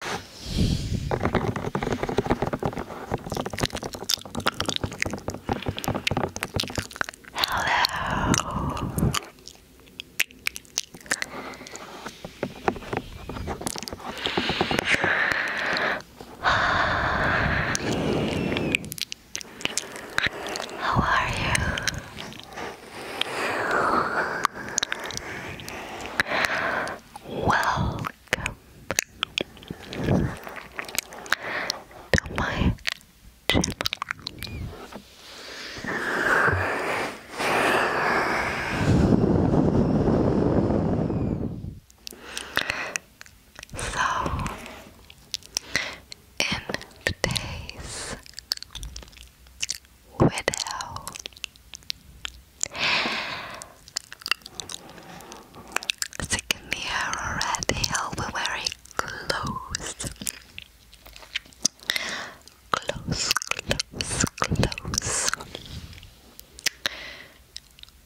Hello. How are you? Welcome to my channel. So, in today's widow. Sick in already, I'll close. Close, close, close.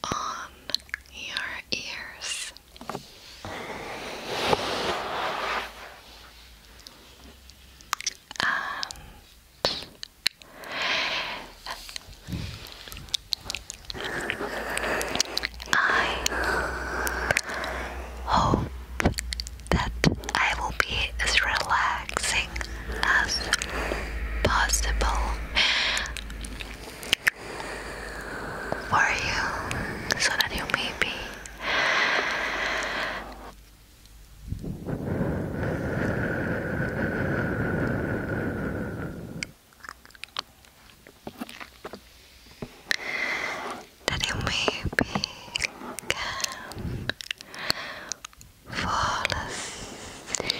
On your ears. And I hope that I will be as relaxing as possible for you so that you may be that you may become fall asleep.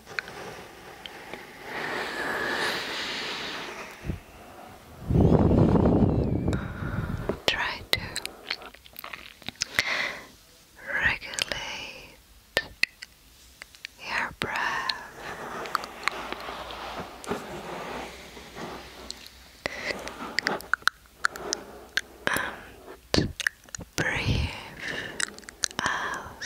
Try to regulate your breath. And breathe out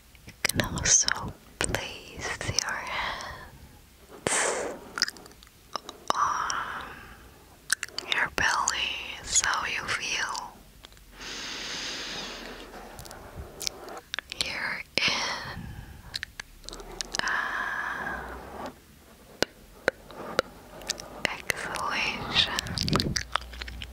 You can also place your hands on your belly so you feel you in exhalation.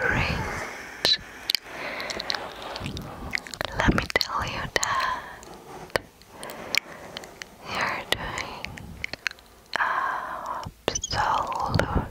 great. Let me tell you that you're doing absolutely.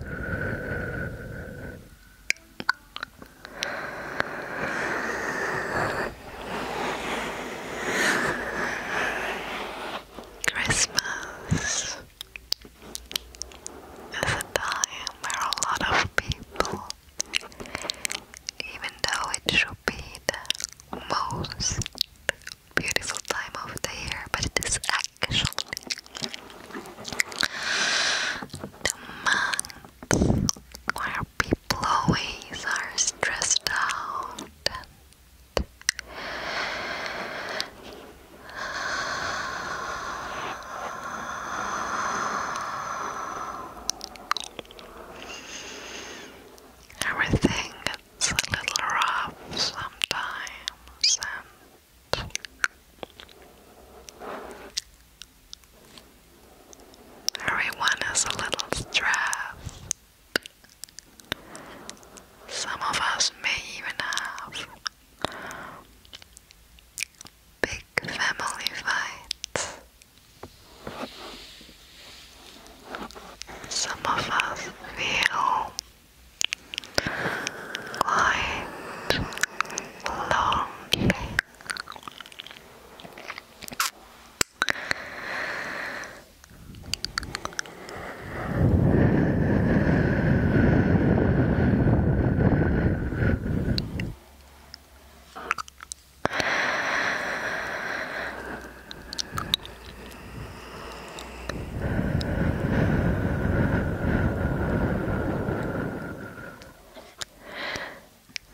Christmas is a time where a lot of people, even though it should be the most beautiful time of the year, but it is actually actually the month where people always are stressed out Everything gets a little rough sometimes, and Everyone is a little stressed. Some of us may even have big family fights. Some of us feel quite lonely.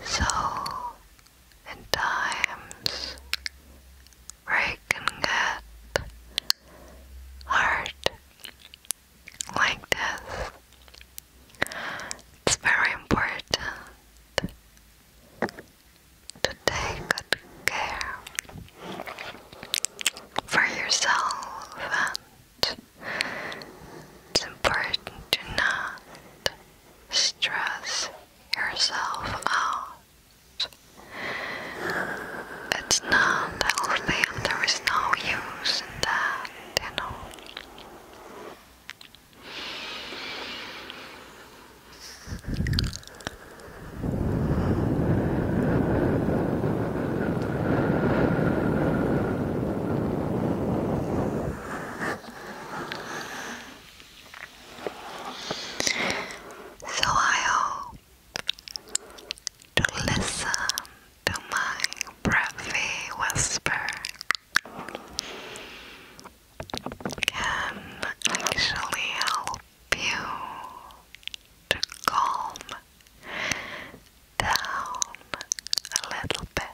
So, at times, where can get hard like this, it's very important to take good care for yourself, and it's important to not stress yourself out. It's not healthy, and there is no use in that, you know. So I hope to listen to my breathy whisper can actually help you to calm down a little bit.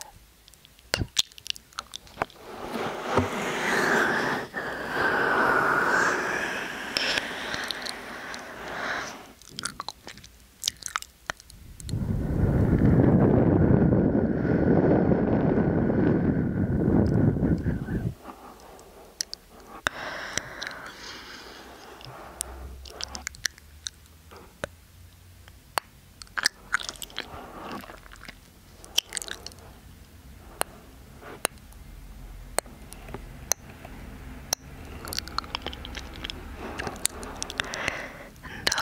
And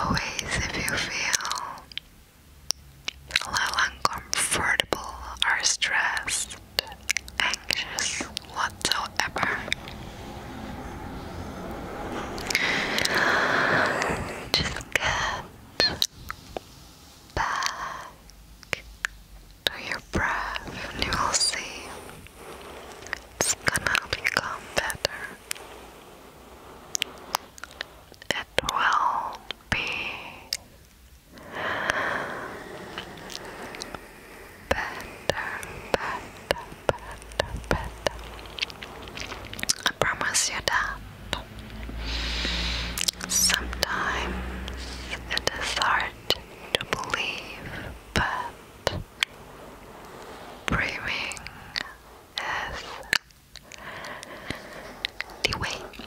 always, if you feel a little uncomfortable or stressed, anxious whatsoever. Just get back to your breath, and you will see it's gonna become better. It will be better, better, better, better. I promise you that. Sometimes it is hard to believe, but breathing is the way.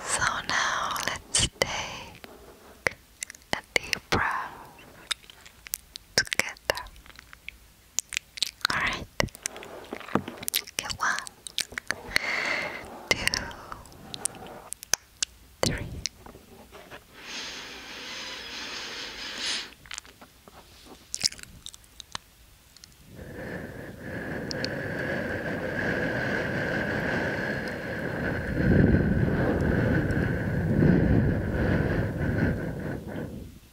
So now let's take a deep breath together. Alright. Okay, one, two, three. And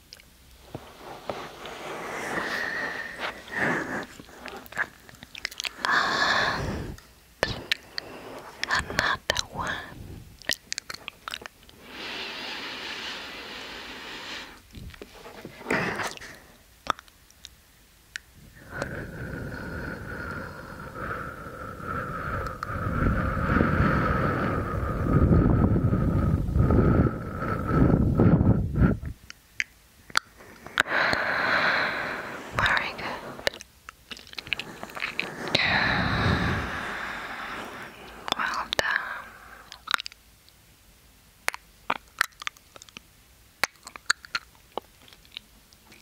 another one. Very good. Well done. Um, Very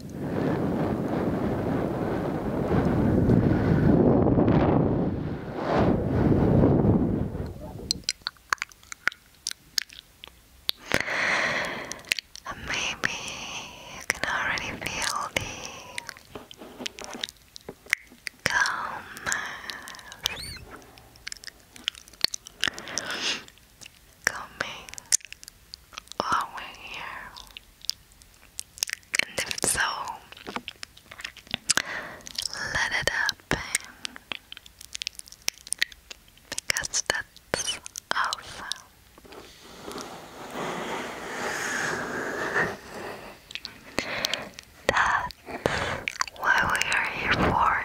And maybe you can already feel the calmness coming are the here? And if so, let it happen because that's awesome. That's what we are here for.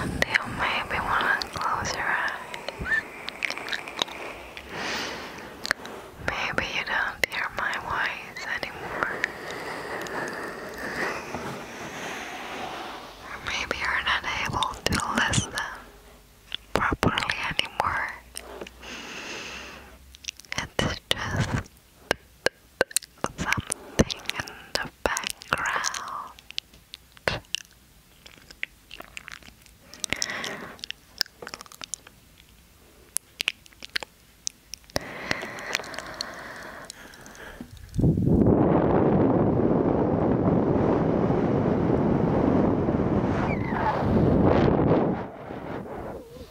And you maybe want to close your eyes. Maybe you don't hear my voice anymore. maybe you're not able to listen properly anymore. It's just something in the background.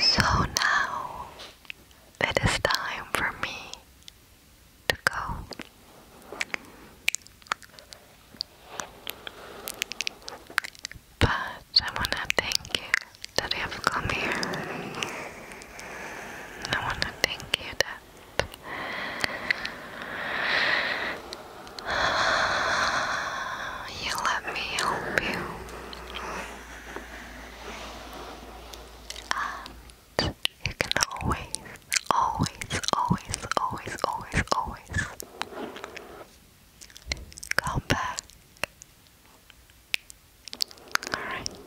So now it is time for me to go. But I want to thank you that you have come here. I want to thank you that you let me help you. And you can always always, always, always, always, always come back. Alright.